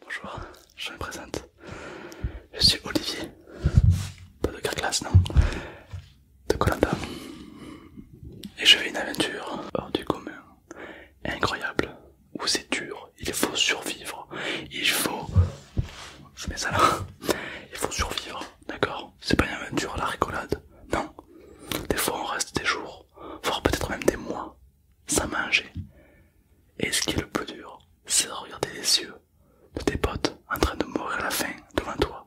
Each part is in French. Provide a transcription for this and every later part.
Bonjour, je me présente. Je suis Olivier. Pas de Carglass, non De Colanda. Et je vais une aventure hors du commun. Incroyable. Où c'est dur. Il faut survivre. Il faut... Je mets ça là. Il faut survivre. D'accord C'est pas une aventure à la rigolade. Non. Des fois on reste des jours, voire peut-être même des mois ça manger Et ce qui est le plus dur, c'est de regarder les yeux de tes potes en train de mourir à la faim devant toi.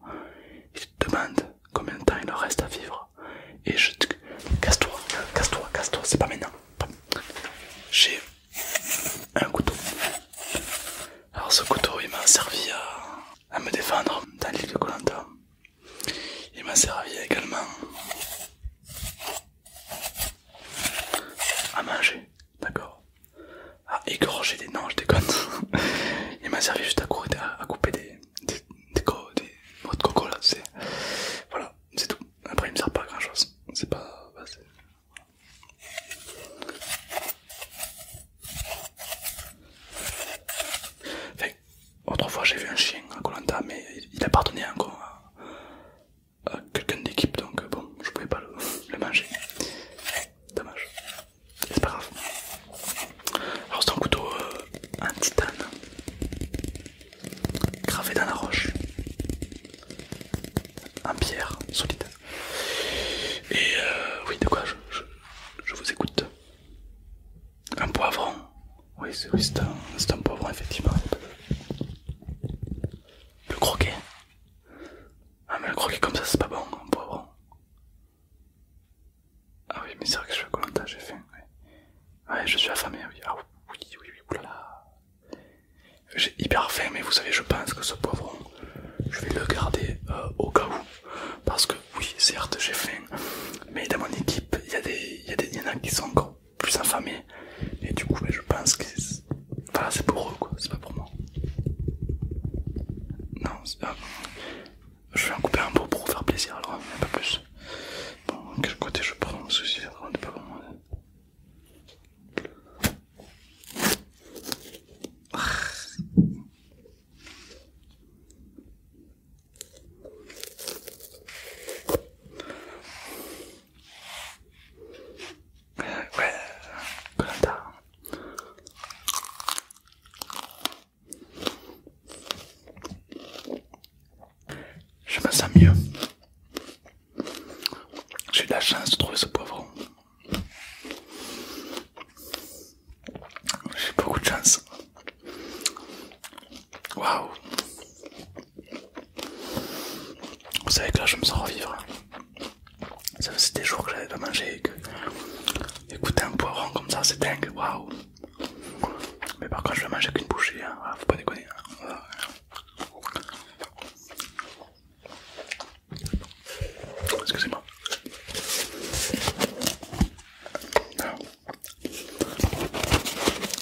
Ils te demandent combien de temps il leur reste à vivre. Et je te... Casse-toi, casse-toi, casse-toi, c'est pas maintenant. J'ai un couteau. Alors ce couteau, il m'a servi à, me défendre dans l'île de Colanta. Il m'a servi également à manger, d'accord. À égorger des. noms, je déconne. Il m'a servi juste à, couper des. des. des. de coco là, c'est. Voilà, c'est tout. Après, il me sert pas à grand chose. C'est pas. Bah, Autrefois j'ai vu un chien à Colanta, mais il appartenait encore à, quelqu'un d'équipe, donc bon, je pouvais pas le, manger. Dommage. C'est pas grave. Alors c'est un couteau en euh, titane, gravé dans la roche, en pierre solide. Et euh, oui, de quoi je vous écoute. Un poivron oui, c'est un, poivron, effectivement. Le croquet Ah, mais le croquet comme ça, c'est pas bon, un poivron Ah oui, mais c'est vrai que je suis à j'ai faim. Ouais. je suis affamé, oui. Ah oui, oui, oui, oulala. J'ai hyper faim, mais vous savez, je pense que ce poivron, je vais le garder euh, au cas où. Parce que, oui, certes, j'ai faim, mais dans mon équipe, il y, y, y en a qui sont gros plus infamé et du coup ben, je pense que c'est pour eux quoi, c'est pas pour moi. Non, je vais en couper un peu pour vous faire plaisir alors, un hein, pas plus. Bon, quel côté je prends ceci, souci pas pour moi. Ah. Je me sens mieux. J'ai de la chance de trouver ce poivron. J'ai beaucoup de chance. Waouh! Vous savez que là je me sens revivre. Ça faisait des jours que j'avais pas mangé Écoutez un poivron comme ça c'est dingue, waouh! Mais par contre je vais manger qu'une bouchée, hein. ah, faut pas déconner. Hein. Excusez-moi. Ah.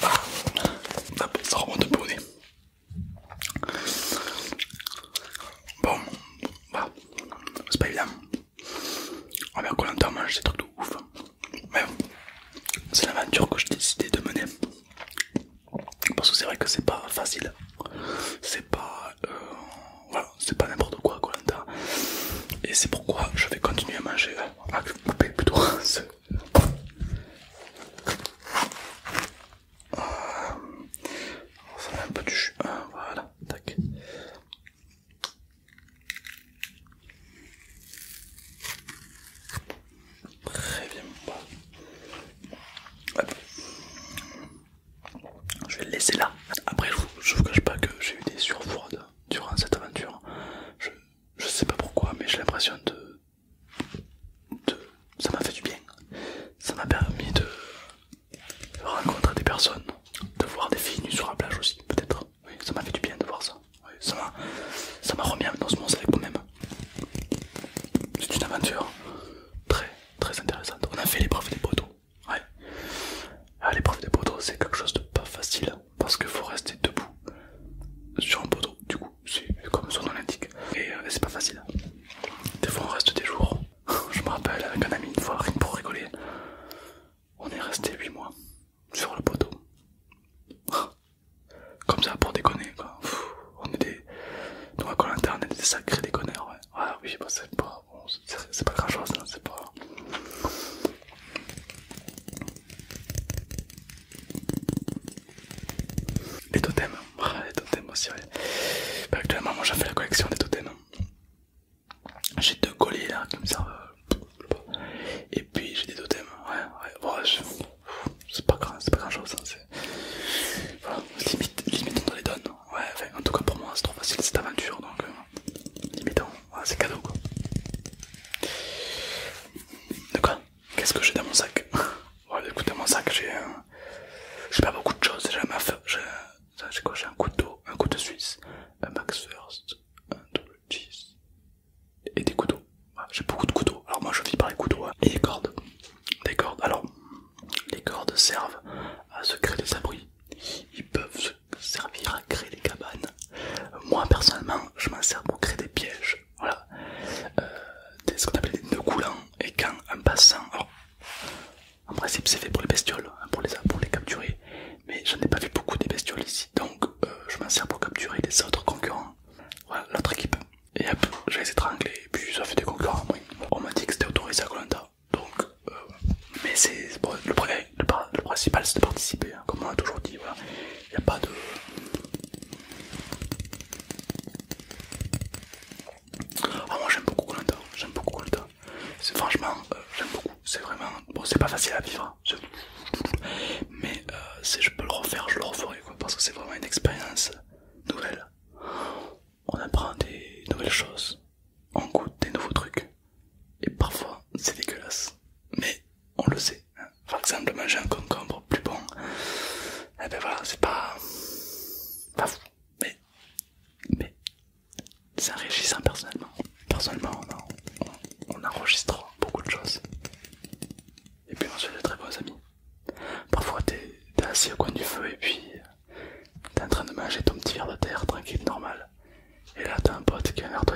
Ah, ça remonte un Bon, bah, c'est pas évident. On va qu'on entend manger ces trucs de ouf. Mais c'est l'aventure que j'ai décidé de mener. Parce que c'est vrai que c'est pas facile. C'est pas. Euh, c'est pas n'importe quoi, Et c'est pourquoi je vais continuer à manger, à plutôt Ça va met un peu du jus. Ah, voilà, tac. Très bien. Je vais le laisser là. Après, je ne vous cache pas que j'ai eu des surfroides durant cette aventure je sais pas pourquoi, mais j'ai l'impression de, de. Ça m'a fait du bien. Ça m'a permis de rencontrer des personnes, de voir des filles nues sur la plage aussi, peut-être. ça m'a fait du bien de voir ça. Oui, ça m'a remis dans ce monde avec moi-même. C'est une aventure très très intéressante. On a fait l'épreuve des poteaux. Ouais. Ah, l'épreuve des poteaux, c'est quelque chose de pas facile parce que faut rester debout sur un poteau, du coup, c'est comme son nom l'indique. Et, euh, c'est pas facile. Des fois, on reste des jours. Je me rappelle avec un ami une fois, rien pour rigoler, on est resté 8 mois sur le poteau. Comme ça, pour déconner quoi. on est des. Nous, à Colinter, on est des sacrés déconneurs, ouais. oui, bah, c'est pas. Bon, c'est pas grand chose, c'est pas. Les totems, ah, les totems aussi, bah, actuellement, moi j'en fais la collection des totems. J'ai deux colliers là qui me servent. Et puis j'ai des totems, ouais, ouais, c'est pas grand, chose. limitons hein, voilà, les dons ouais, en tout cas pour moi c'est trop facile cette aventure donc euh, limitons c'est cadeau quoi. De quoi Qu'est-ce que j'ai dans mon sac mon sac, j'ai euh, J'ai pas beaucoup de choses, j'ai un maf... J'ai quoi J'ai un couteau, un couteau suisse, un Max First, un double cheese et des couteaux. j'ai beaucoup de couteaux, alors moi je vis par les couteaux hein, et les cordes. Des cordes, alors les cordes servent à se créer des abris. Ils peuvent se servir à créer des cabanes. Moi personnellement, je m'en sers pour créer des pièges, voilà, euh, des, ce qu'on appelle des nœuds coulants. Et quand en passant, en principe, c'est fait pour les bestioles, hein, pour, les, pour les capturer, mais j'en ai pas vu beaucoup des bestioles ici, donc euh, je m'en sers pour capturer les autres concurrents, voilà, l'autre équipe. Et hop, je les étrangler et puis ça fait des concurrents. On m'a dit que c'était autorisé à Colanta, donc, euh, mais c'est le le, le, principal c'est de participer, hein, comme on a toujours dit, Il n'y a pas de... Ah moi j'aime beaucoup Colanta, j'aime C'est franchement, euh, j'aime beaucoup, c'est vraiment... Bon c'est pas facile à vivre, hein. mais euh, si je peux le refaire, je le referai, parce que c'est vraiment une expérience nouvelle. On apprend des nouvelles choses, on goûte des nouveaux trucs. Et parfois, c'est dégueulasse. Mais on le sait. Hein. Par exemple, manger un concombre plus bon, eh ben voilà, c'est pas... pas fou. Mais... mais... c'est enrichissant personnellement. Personnellement, on, enregistre beaucoup de choses. Et puis on se fait de très bons amis. Parfois, t'es assis au coin du feu et puis t'es en train de manger ton petit verre de terre tranquille, normal. Et là, t'as un pote qui a un verre de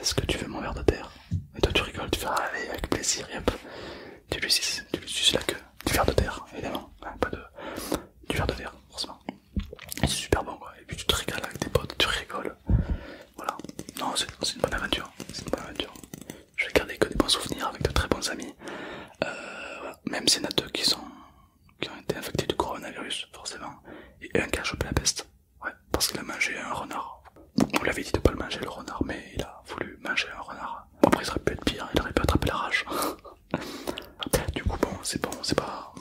Est-ce que tu veux mon verre de terre Et toi, tu rigoles, tu fais ah, avec plaisir, et hop, tu lui suces, tu lui la queue. Du verre de terre, évidemment, pas de. Du verre de terre, forcément. Et c'est super bon, quoi. Et puis tu te rigoles avec tes potes, tu rigoles. Voilà. Non, c'est une bonne aventure. C'est une bonne aventure. Je vais garder que des bons souvenirs avec de très bons amis. Euh, Même s'il y en a deux qui, qui ont été infectés du coronavirus, forcément. Et un qui a chopé la peste. Ouais, parce qu'il a mangé un renard. On lui avait dit de ne pas le manger le renard, mais il a voulu manger un renard. Après, il aurait pu être pire, il aurait pu attraper la rage. du coup, bon, c'est bon, c'est pas.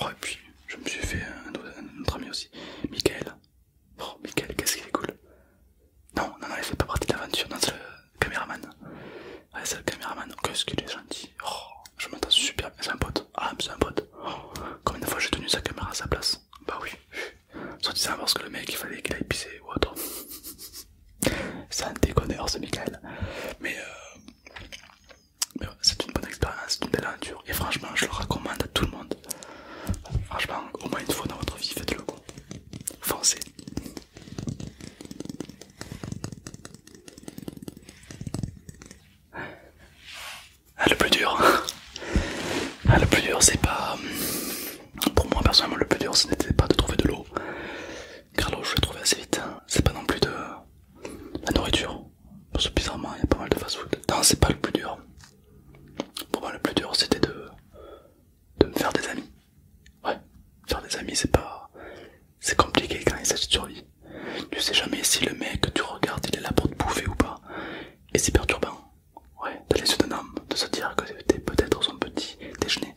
Oh, et puis, je me suis fait un autre, ami aussi, Mickaël, Oh, Michael, qu'est-ce qu'il est cool! Non, non, non, il fait pas partie de l'aventure dans ce caméraman. c'est le caméraman. Qu'est-ce qu'il est gentil. Oh, je m'entends super C'est un pote. Ah, c'est un pote. Comme oh, combien de fois j'ai tenu sa caméra à sa place Bah oui. Soit disant parce que le mec il fallait qu'il aille pisser ou autre. c'est un déconneur ce Michael. Mais, euh, c'est une bonne expérience, c'est une belle aventure. Et franchement, je le recommande à tout le monde. Franchement, au moins une fois dans votre vie, faites-le. Foncez. Ah, le plus dur, ah, le plus dur, c'est pas. Euh, pour moi, personnellement, le plus dur, ce n'était pas de trouver de l'eau. Car l'eau, je l'ai trouvée assez vite. Hein. C'est pas non plus de la nourriture. Parce que bizarrement, il y a pas mal de fast-food. Non, c'est pas le plus dur. Pour moi, le plus dur, c'était de... de me faire des amis. Ouais, faire des amis c'est pas... c'est compliqué quand il s'agit de survie. Tu sais jamais si le mec que tu regardes il est là pour te bouffer ou pas. Et c'est perturbant. Ouais, d'aller les homme, de se dire que t'es peut-être son petit déjeuner.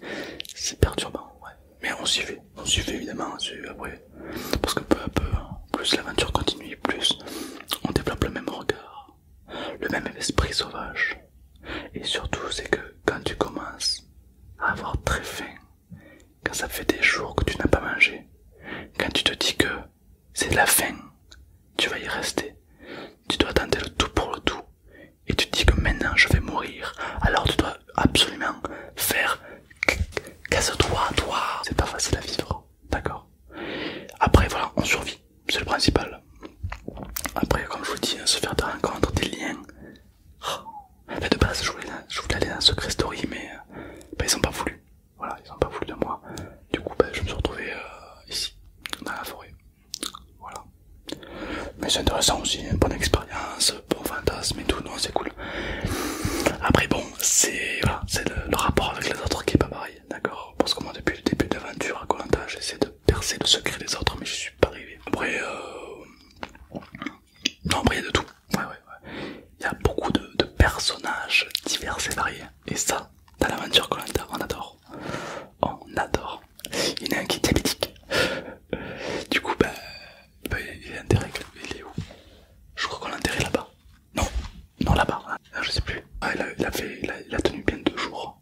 C'est perturbant, ouais. Mais on s'y on s'y évidemment, après. Parce que peu à peu, hein, plus l'aventure continue, plus on développe le même regard, le même esprit sauvage. Et surtout, c'est que quand tu commences avoir très faim quand ça fait des jours que tu n'as pas mangé, quand tu te dis que c'est de la faim, tu vas y rester, tu dois tenter le tout pour le tout, et tu te dis que maintenant je vais mourir, alors tu dois absolument faire casse-toi, toi, toi. c'est pas facile à vivre, d'accord Après voilà, on survit, c'est le principal. Après, comme je vous dis, hein, se faire des rencontres, des liens, bah, de base, je voulais, je aller dans secret story, mais euh, bah, ils n'ont pas voulu. Voilà, ils n'ont pas voulu de moi. Du coup, bah, je me suis retrouvé euh, ici, dans la forêt. Voilà. Mais c'est intéressant aussi, bonne expérience, bon fantasme et tout, non, c'est cool. Après, bon, c'est le, rapport avec les autres qui est pas pareil, d'accord Parce que moi, depuis le début de l'aventure à Colanta, j'essaie de percer le secret des autres, mais je suis pas arrivé. Après, euh... non, après, de tout. Ouais, ouais, Il y a beaucoup de, personnages divers et variés. Et ça, dans l'aventure a, on adore. On adore. Il y en a un qui est diabétique. Du coup, bah il est où Je crois qu'on l'a enterré là-bas. Non, non là-bas. Ah, je sais plus. Ah, il, a, fait, il a tenu bien deux jours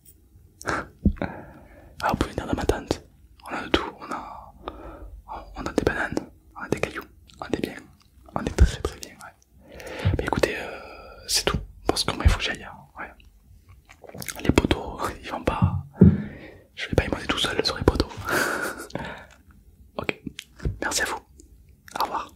ah, vous pouvez venir dans ma tente. On a de tout. On a, on a des bananes, on a des cailloux, on est bien. On est très très bien. Mais écoutez, euh, c'est tout. Parce que moi, il faut que j'aille. Hein, les poteaux, ils vont pas. Je vais pas y monter tout seul sur les poteaux. ok. Merci à vous. Au revoir.